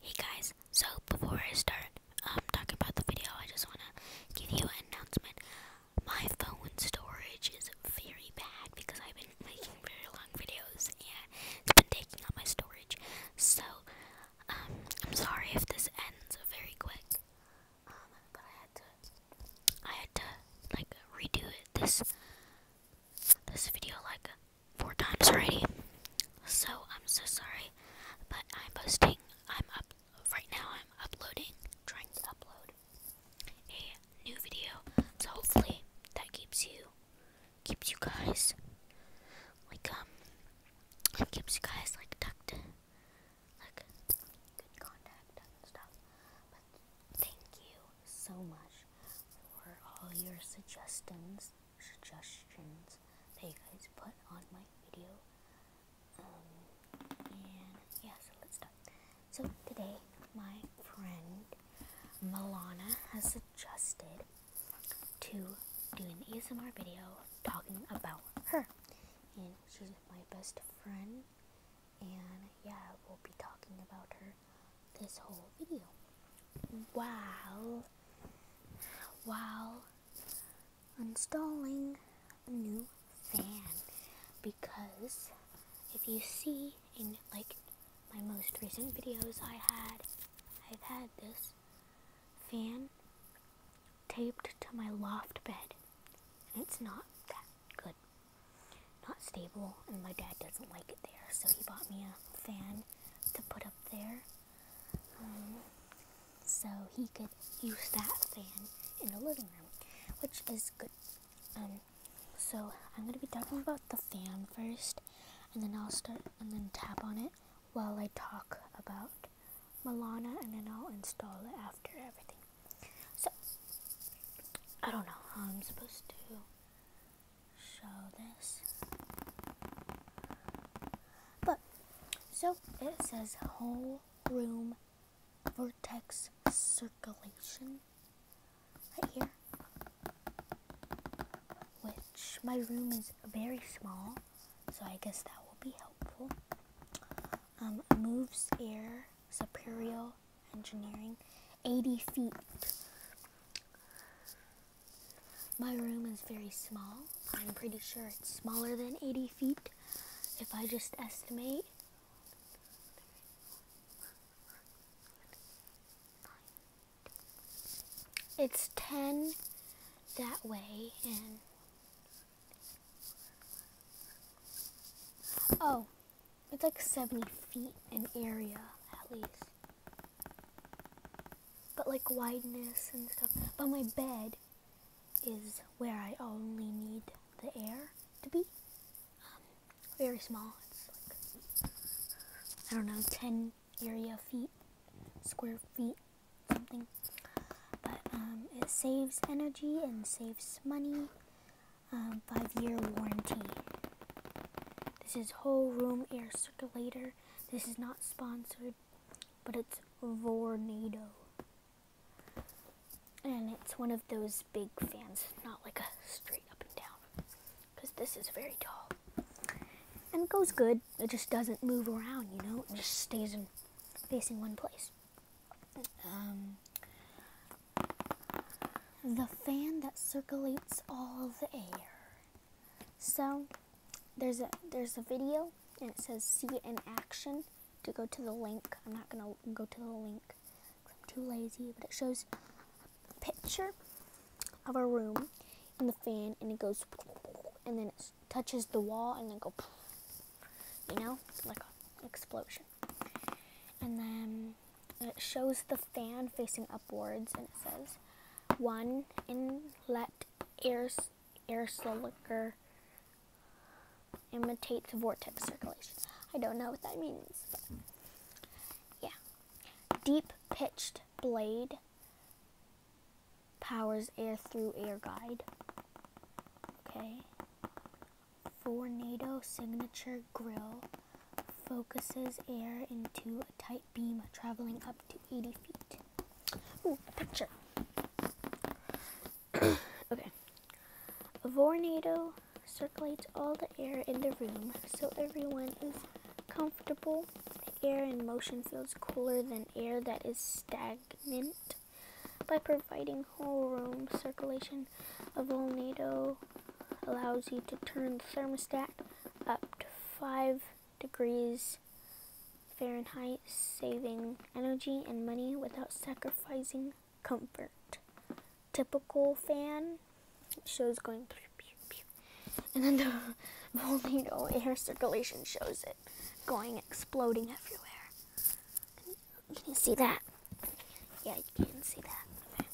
Hey guys, so before I start um, talking about the video, I just want to give you an announcement. My phone storage is very bad because I've been making very long videos and it's been taking up my storage. So, um, I'm sorry if this ends very quick, um, but I had to, like, redo this, this video, like, four times already. So I'm so sorry, but I'm posting. I'm up right now. I'm uploading, trying to upload a new video. So hopefully that keeps you, keeps you guys, like um, keeps you guys like tucked, like good contact and stuff. But thank you so much for all your suggestions suggestions that you guys put on my video. Um, and yeah, so let's start. So today, my friend Milana has suggested to do an ASMR video talking about her. And she's my best friend. And yeah, we'll be talking about her this whole video while while installing a new fan because if you see in like my most recent videos I had I've had this fan taped to my loft bed and it's not that good not stable and my dad doesn't like it there so he bought me a fan to put up there so he could use that fan in the living room, which is good. Um, so I'm gonna be talking about the fan first, and then I'll start and then tap on it while I talk about Milana, and then I'll install it after everything. So I don't know how I'm supposed to but, so it says whole room vortex circulation right here. Which, my room is very small, so I guess that will be helpful. Um, moves air, superior engineering, 80 feet. My room is very small. I'm pretty sure it's smaller than 80 feet if I just estimate. It's 10 that way and Oh, it's like 70 feet in area, at least. But like wideness and stuff. But my bed is where I only need the air to be. Um, very small. It's like, I don't know, 10 area feet, square feet, something. But um, it saves energy and saves money. Um, five year warranty. This is whole room air circulator. This is not sponsored, but it's Vornado. And it's one of those big fans, not like a straight up and down. Because this is very tall. And it goes good. It just doesn't move around, you know? It just stays in facing one place. Um, the fan that circulates all the air. So there's a there's a video and it says see it in action to go to the link. I'm not gonna go to the link I'm too lazy, but it shows a picture of our room and the fan and it goes and then it touches the wall and then go you know like an explosion and then it shows the fan facing Boards and it says one inlet air air slicker imitates vortex circulation. I don't know what that means, yeah. Deep pitched blade powers air through air guide. Okay. Tornado signature grill focuses air into a tight beam traveling up to 80 feet picture. okay. A tornado circulates all the air in the room so everyone is comfortable. Air in motion feels cooler than air that is stagnant. By providing whole room circulation, a volnado allows you to turn the thermostat up to 5 degrees Fahrenheit, saving energy and money without sacrificing comfort. Typical fan shows going And then the volcano air circulation shows it going exploding everywhere. Can you see that? Yeah, you can see that.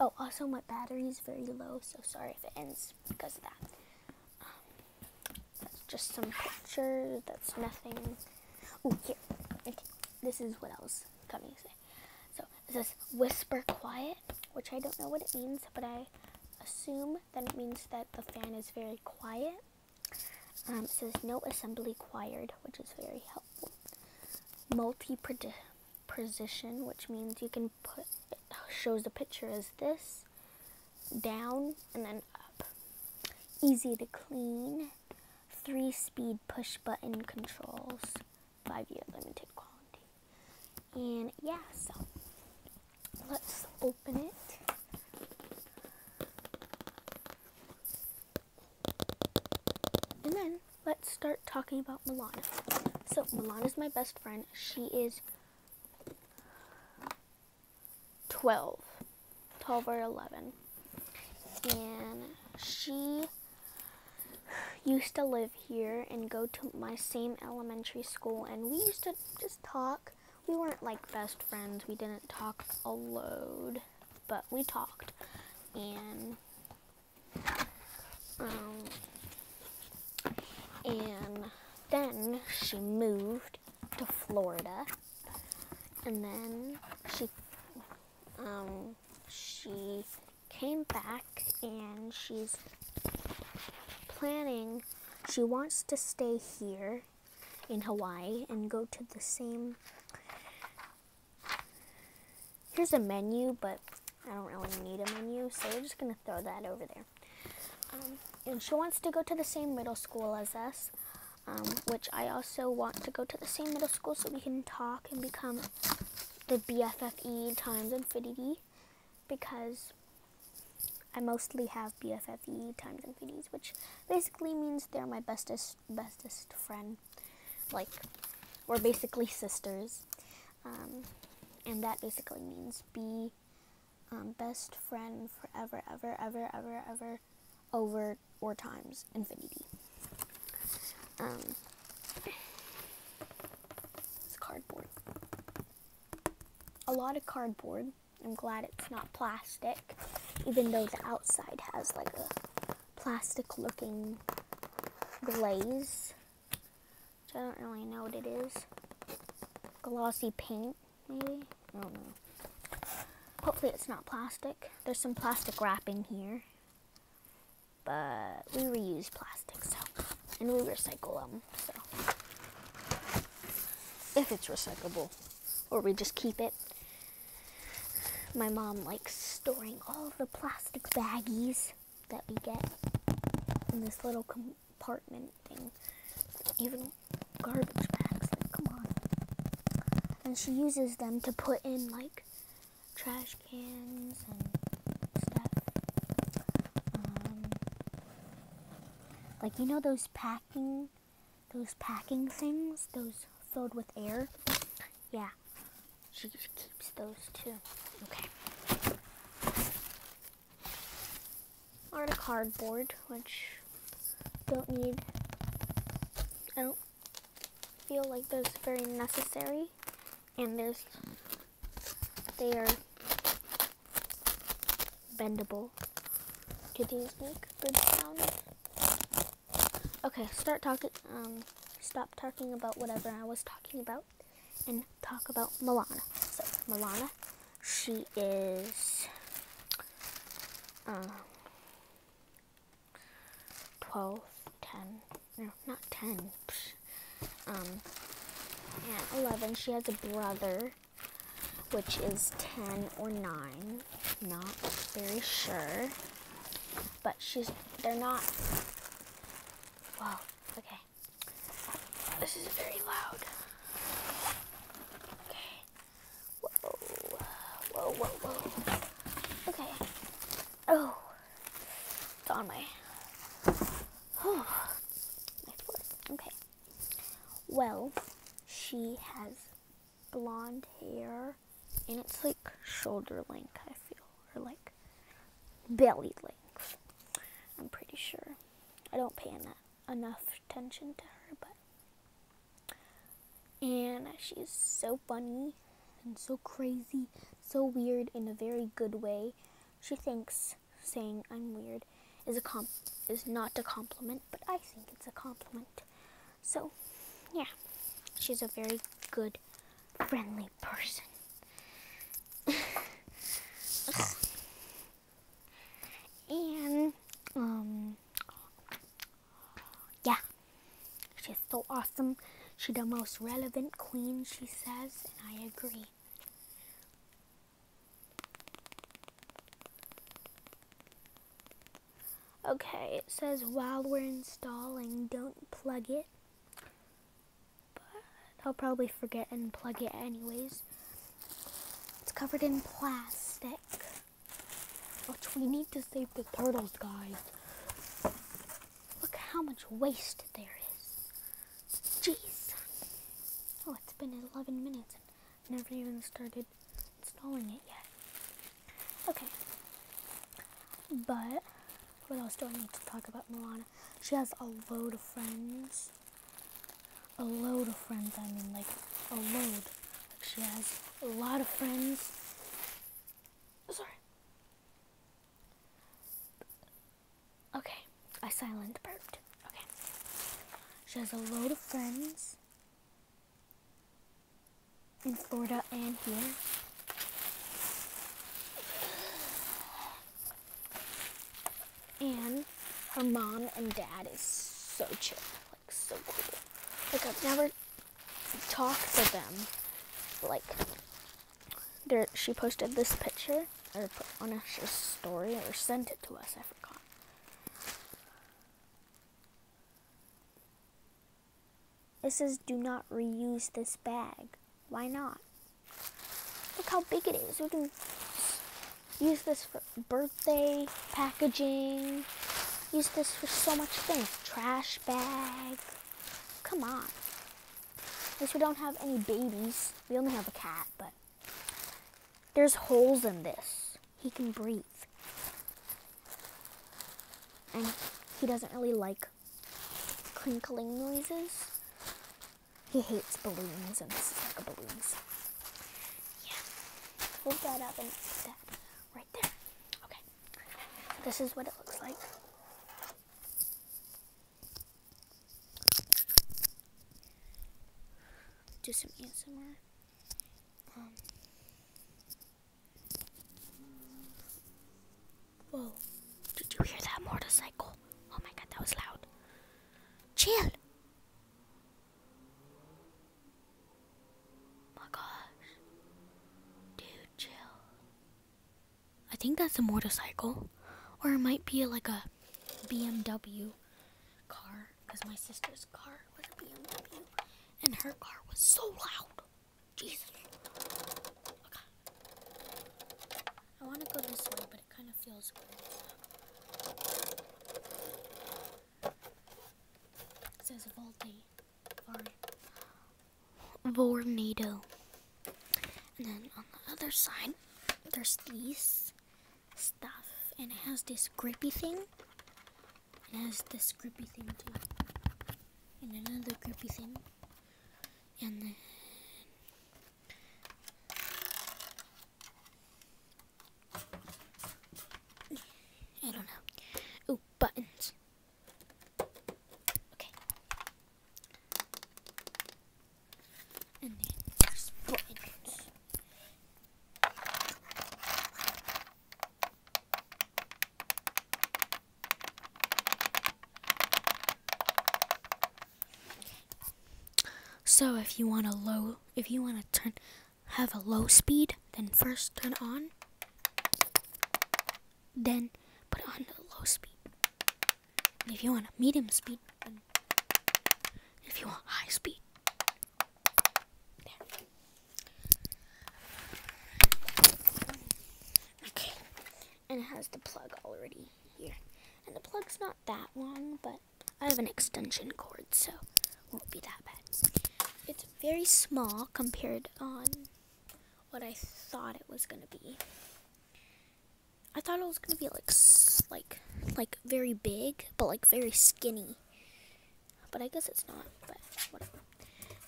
Oh, also my battery is very low, so sorry if it ends because of that. Um, that's just some pictures. That's nothing. Oh, here. Okay. This is what I was coming to say. So it says whisper quiet, which I don't know what it means, but I assume that it means that the fan is very quiet. Um, it says no assembly required, which is very helpful. multi position, which means you can then put shows the picture as this down and then up. Easy to clean. Three speed push button controls. Five year limited quality. And yeah, so let's open it. And then let's start talking about Milana. So Milana is my best friend. She is 12, 12 or 11. And she used to live here and go to my same elementary school, and we used to just talk. We weren't like best friends, we didn't talk a load, but we talked. And um, and then she moved to Florida. And then she um, she came back and she's planning she wants to stay here in Hawaii and go to the same Here's a menu, but I don't really need a menu, so we're just going to throw that over there. Um, and she wants to go to the same middle school as us, um, which I also want to go to the same middle school so we can talk and become the BFFE times infinity because I mostly have BFFE times infinities, which basically means they're my bestest bestest friend. Like we're basically sisters, um, and that basically means be. Um, best friend forever, ever, ever, ever, ever, over or times infinity. Um, it's cardboard. A lot of cardboard. I'm glad it's not plastic, even though the outside has like a plastic looking glaze. So I don't really know what it is. Glossy paint, maybe? I don't know. Hopefully it's not plastic. There's some plastic wrapping here. But we reuse plastic, so. And we recycle them, so. If it's recyclable. Or we just keep it. My mom likes storing all the plastic baggies that we get in this little com apartment thing. Even garbage bags, like, come on. And she uses them to put in, like, trash cans and stuff. Um, like, you know those packing, those packing things? Those filled with air? Yeah. She just keeps those, too. Okay on cardboard, which don't need. I don't feel like those very necessary, and there's they are bendable do these make good sound? Okay, start talking, um, stop talking about whatever I was talking about and talk about Milana. So Milana, she is um, 12, 10, no, not 10, um, and 11. She has a brother, which is 10 or 9, not very sure, but she's, they're not, wow, okay. This is very loud. Okay. Whoa. Whoa, whoa, whoa. Okay. Oh. It's on my... Oh. My foot. Okay. Well, she has blonde hair, and it's like shoulder length, I feel, or like belly length. I'm pretty sure. I don't pay enough attention to her, but and she's so funny and so crazy, so weird in a very good way. She thinks saying I'm weird is a comp is not a compliment, but I think it's a compliment. So, yeah, she's a very good, friendly person. And, um, yeah, she's so awesome. She's the most relevant queen, she says, and I agree. Okay, it says while we're installing, don't plug it. But I'll probably forget and plug it anyways. It's covered in plastic. Which we need to save the turtles, guys. Look how much waste there is. Jeez. Oh, it's been 11 minutes and never even started installing it yet. Okay. But what else do I need to talk about Milana? She has a load of friends a load of friends. I mean, like a load. Like she has a lot of friends. Oh, sorry. Okay, I silenced burped. Okay. She has a load of friends in Florida and here. And her mom and dad is so chill, like so cool. Like I've never talked to them. Like she posted this picture or put on a story or sent it to us. I forgot. It says do not reuse this bag. Why not? Look how big it is. We can use this for birthday packaging. Use this for so much things. Trash bag. Come on. At least we don't have any babies. We only have a cat, but there's holes in this. He can breathe. And he doesn't really like crinkling noises. He hates balloons and stuck balloons. Yeah. Hold that up and put that right there. Okay. This is what it looks like. Do some ASMR. Um. Whoa. Did you hear that motorcycle? Oh my god, that was loud. Chill. Oh my gosh. Dude, chill. I think that's a motorcycle. Or it might be like a BMW car. Because my sister's car was a BMW. And her car was so loud. Jesus. I want to go this way, but it kind of feels weird. It says Volte, or Vornado. And then on the other side, there's these stuff, and it has this grippy thing. It has this grippy thing too, and another grippy thing, and then I don't know. Ooh, buttons. Okay. And then there's buttons. So if you want a low, if you want to turn, have a low speed, then first turn on, then put on the low speed. if you want a medium speed, if you want high speed, Okay, and it has the plug already here, and the plug's not that long, but I have an extension cord, so won't be that bad. It's very small compared on what I thought it was gonna be. I thought it was gonna be like like like very big, but like very skinny. But I guess it's not. But whatever.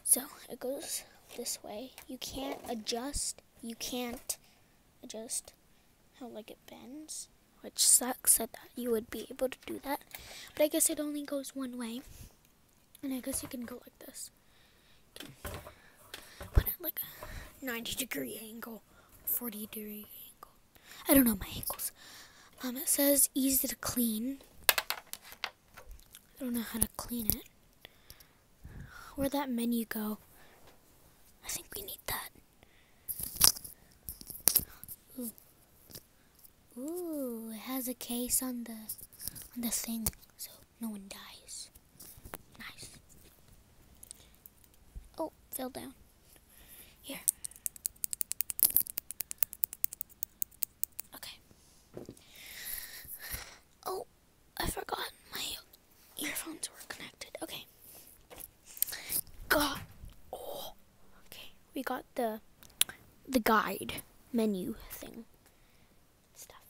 So it goes this way. You can't adjust. You can't I just how like it bends, which sucks that you would be able to do that. But I guess it only goes one way, and I guess you can go like this. Put it like a 90 degree angle, 40 degree angle. I don't know my angles. Um, it says easy to clean. I don't know how to clean it. where that menu go? I think we need that. Ooh. it has a case on the on the thing so no one dies. Nice. Oh, fell down. Here. Okay. Oh, I forgot my earphones were connected. Okay. got. Oh, okay. We got the the guide menu thing. Stuff.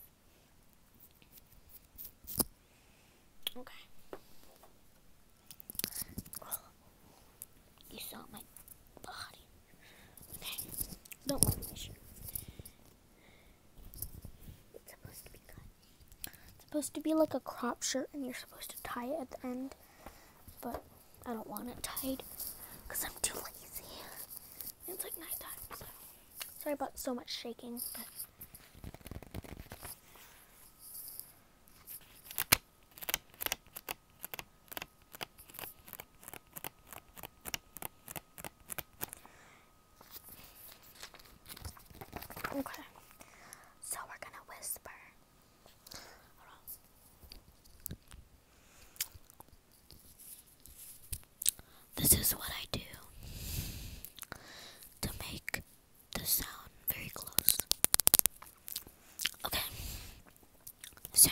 Okay. You saw my body. Okay. Don't worry, It's supposed to be cut. It's supposed to be like a crop shirt and you're supposed to tie it at the end. But I don't want it tied because I'm too lazy. It's like nighttime, so. Sorry about so much shaking, but. Okay. So we're gonna whisper. This is what I do to make the sound very close. Okay. So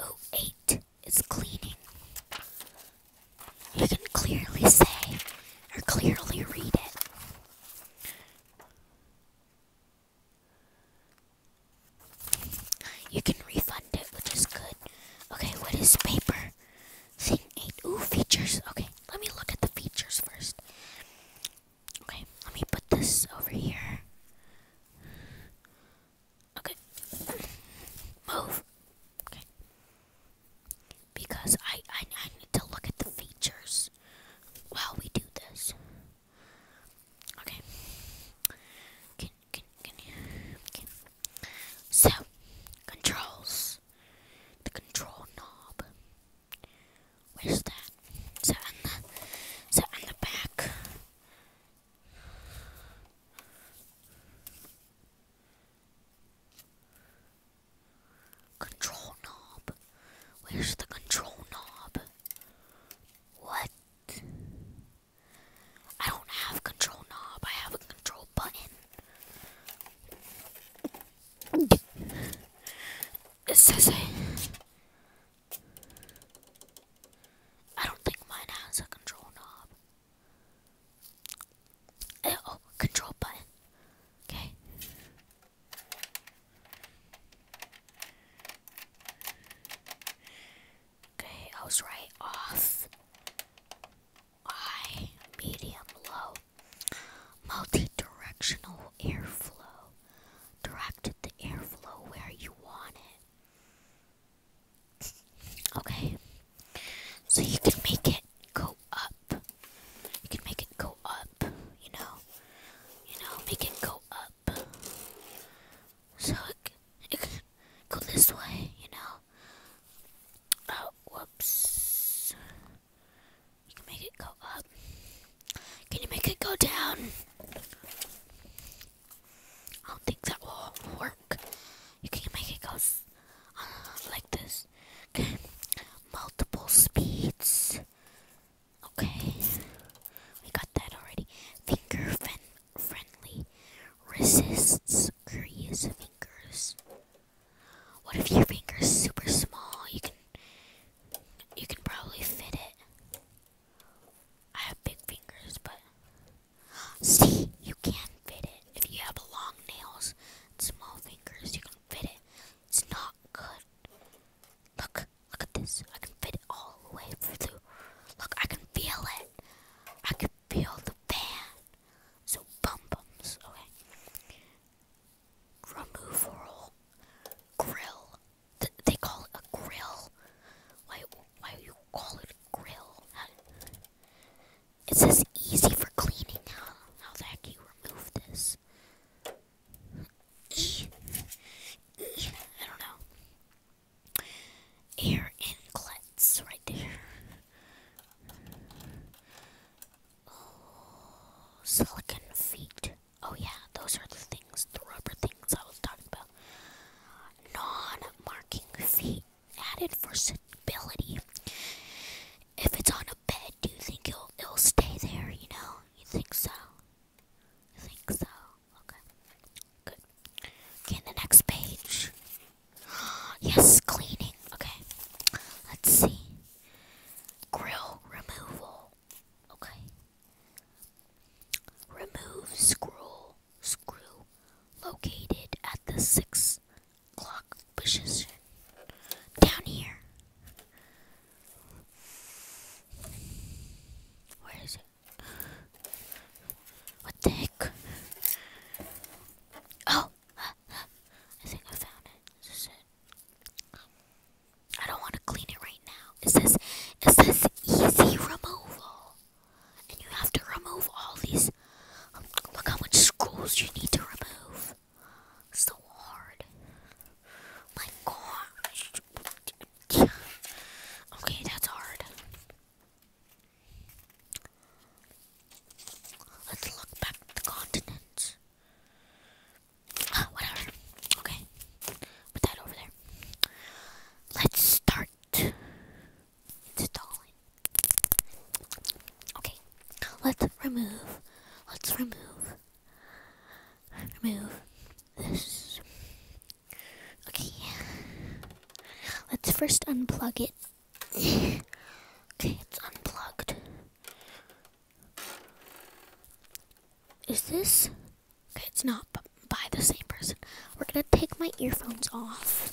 oh eight it's cleaning. You can clearly say or clearly read it. You can refund it, which is good. Okay, what is paper? Thing 8. Ooh, features. Okay, let me look at the features first. Okay, let me put this over here. Okay. Move. Okay. Because I, I, I need to look at the features while we do this. Okay. Can, can, can you? So, controls. The control knob. Where's that? So, on the, so on the back, Control knob. Where's the control knob? What? I don't have control knob. I have a control button. It says it. I don't think mine has a control knob. Oh, control button. Okay. Okay, I was right off. High, medium, low. Multi-directional airflow. Direct the airflow where you want it. Okay. So you can make it go up. You can make it go up, you know. You know, make it go up. So it, it can go this way, you know. Oh, whoops. You can make it go up. Can you make it go down? I don't think that will work. You can not make it go uh, like this. Okay, multiple speeds. Okay, we got that already. Finger friendly resists curious fingers. What if your finger's super small? You can you can probably fit it. I have big fingers, but See, you can fit it. If you have long nails and small fingers, you can fit it. It's not good. Look, look at this. I can fit it all the way through. Look, I can feel it. I can feel the fan. So bum bums, okay. Removal grill. Th they call it a grill. Why? Why you call it a grill? It's as easy for cleaning. How, how the heck you remove this? E. e I don't know. Air inlets right there. Oh, silicon feet. Oh, yeah, those are the things, the rubber things I was talking about. Non marking feet added for stability. If it's on a bed, do you think it'll it'll stay there? You know, you think so? You think so? Okay, good. Okay, the next page. yes, cleaning. Okay, let's see. Grill removal. Okay. Remove scroll screw located at the six o'clock position down here. Where is it? What the heck? Oh, I think I found it. Is this it? I don't want to clean it right now. It says, it says easy removal. And you have to remove all these. look how much screws you need to remove. So hard. My gosh. Okay, that's hard. Let's look back at the continents. Ah, whatever. Okay. Put that over there. Let's start. Installing. Okay, let's remove. Let's remove. Remove this. Okay. Let's first unplug it. okay, it's unplugged. Is this? Okay, it's not by the same person. We're gonna take my earphones off.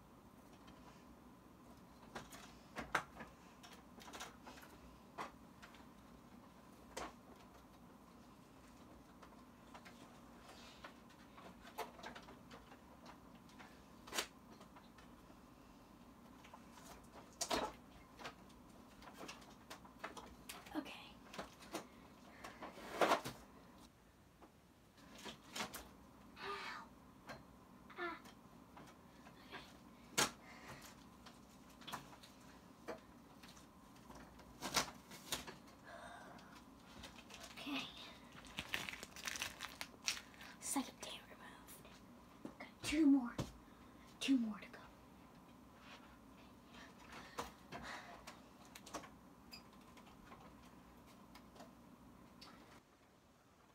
Okay. Ow. Okay. Second day removed. Got two more. Two more to go.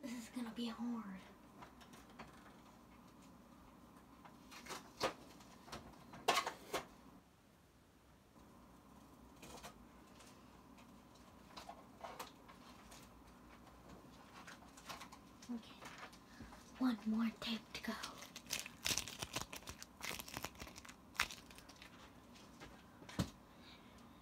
This is gonna be hard. Okay, one more tape to go.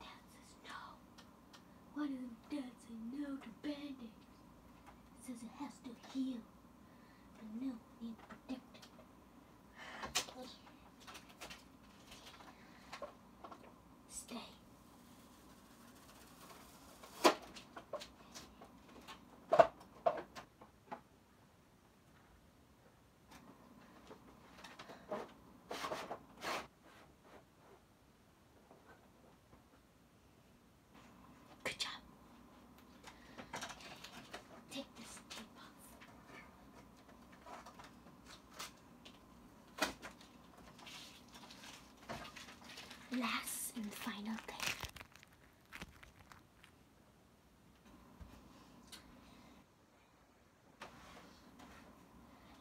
Dad says no. Why does Dad say no to band-aids? says it has to heal. But no, need to protect it. Stay. Good job. Take this tape off. Last and final thing.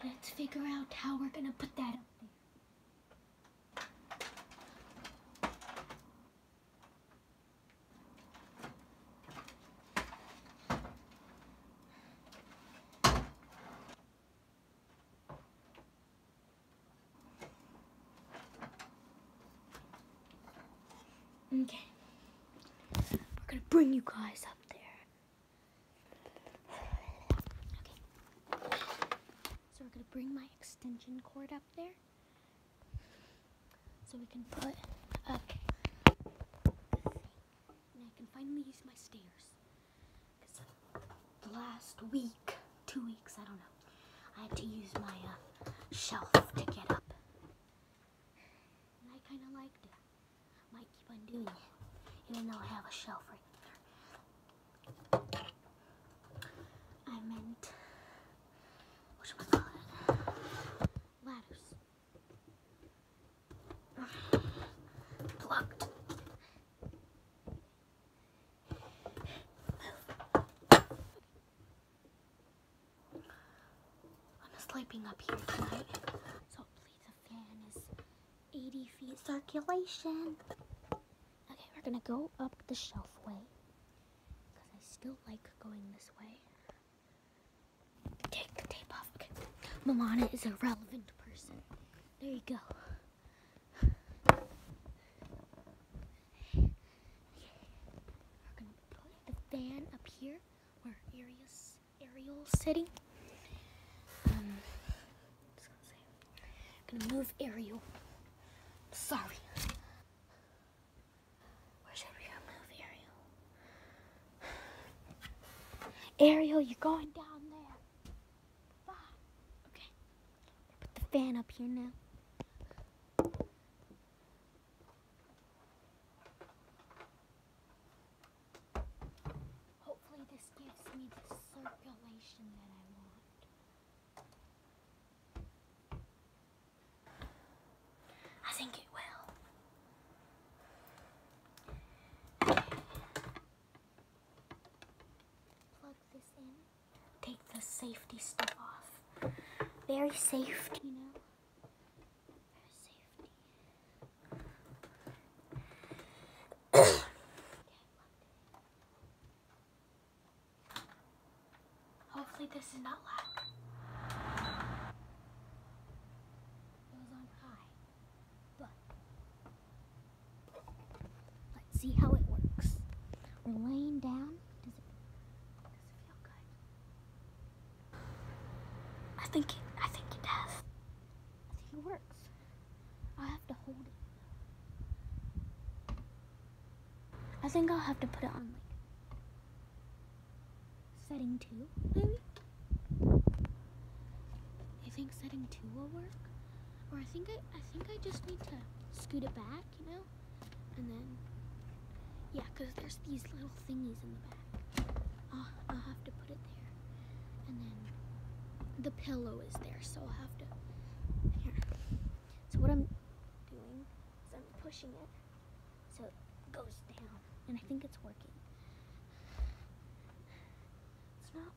Let's figure out how we're gonna put that up there. Okay. We're gonna bring you guys up there. Okay. So we're gonna bring my extension cord up there. So we can put up I can finally use my stairs. The last week, two weeks, I don't know. I had to use my uh, shelf to get up. And I kind of liked it. Might keep on doing it, even though I have a shelf right there. I meant, what should I call it? Ladders. Plucked. I'm sleeping up here tonight, so hopefully the fan is 80 feet circulation. Okay, we're gonna go up the shelf way, because I still like going this way. Take the tape off. Okay. Milana is a relevant person. There you go. fan up here where Arius aerial setting. I'm um, gonna move aerial. Sorry. Where should we move aerial? Ariel, you're going down there. Okay. Put the fan up here now. Hopefully this gives me the circulation that I want. I think it will. Plug this in. Take the safety stuff off. Very safe, you know. Hopefully this is not loud. let's see how it works. We're laying down. does it feel good? I think it, I think it does. I think it works. I have to hold it. I think I'll have to put it on like setting two, maybe. You think setting two will work? Or I think I, I think I just need to scoot it back, you know, and then. Yeah, because there's these little thingies in the back. I'll, have to put it there. And then the pillow is there, so I'll have to. Here. So what I'm doing is I'm pushing it so it goes down, and I think it's working. It's not.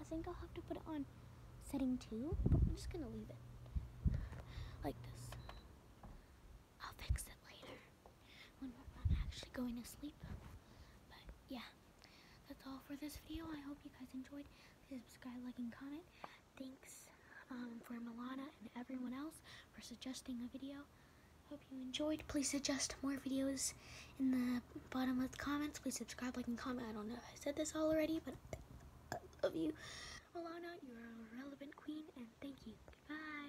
I think I'll have to put it on setting two, but I'm just gonna leave it like this. I'll fix it later when we're actually going to sleep. But yeah, that's all for this video. I hope you guys enjoyed. Please subscribe, like, and comment. Thanks um, for Milana and everyone else for suggesting a video. Hope you enjoyed. Please suggest more videos in the bottom of comments. Please subscribe, like, and comment. I don't know if I said this already, but I love you. Milana, you are a relevant queen, and thank you. Goodbye.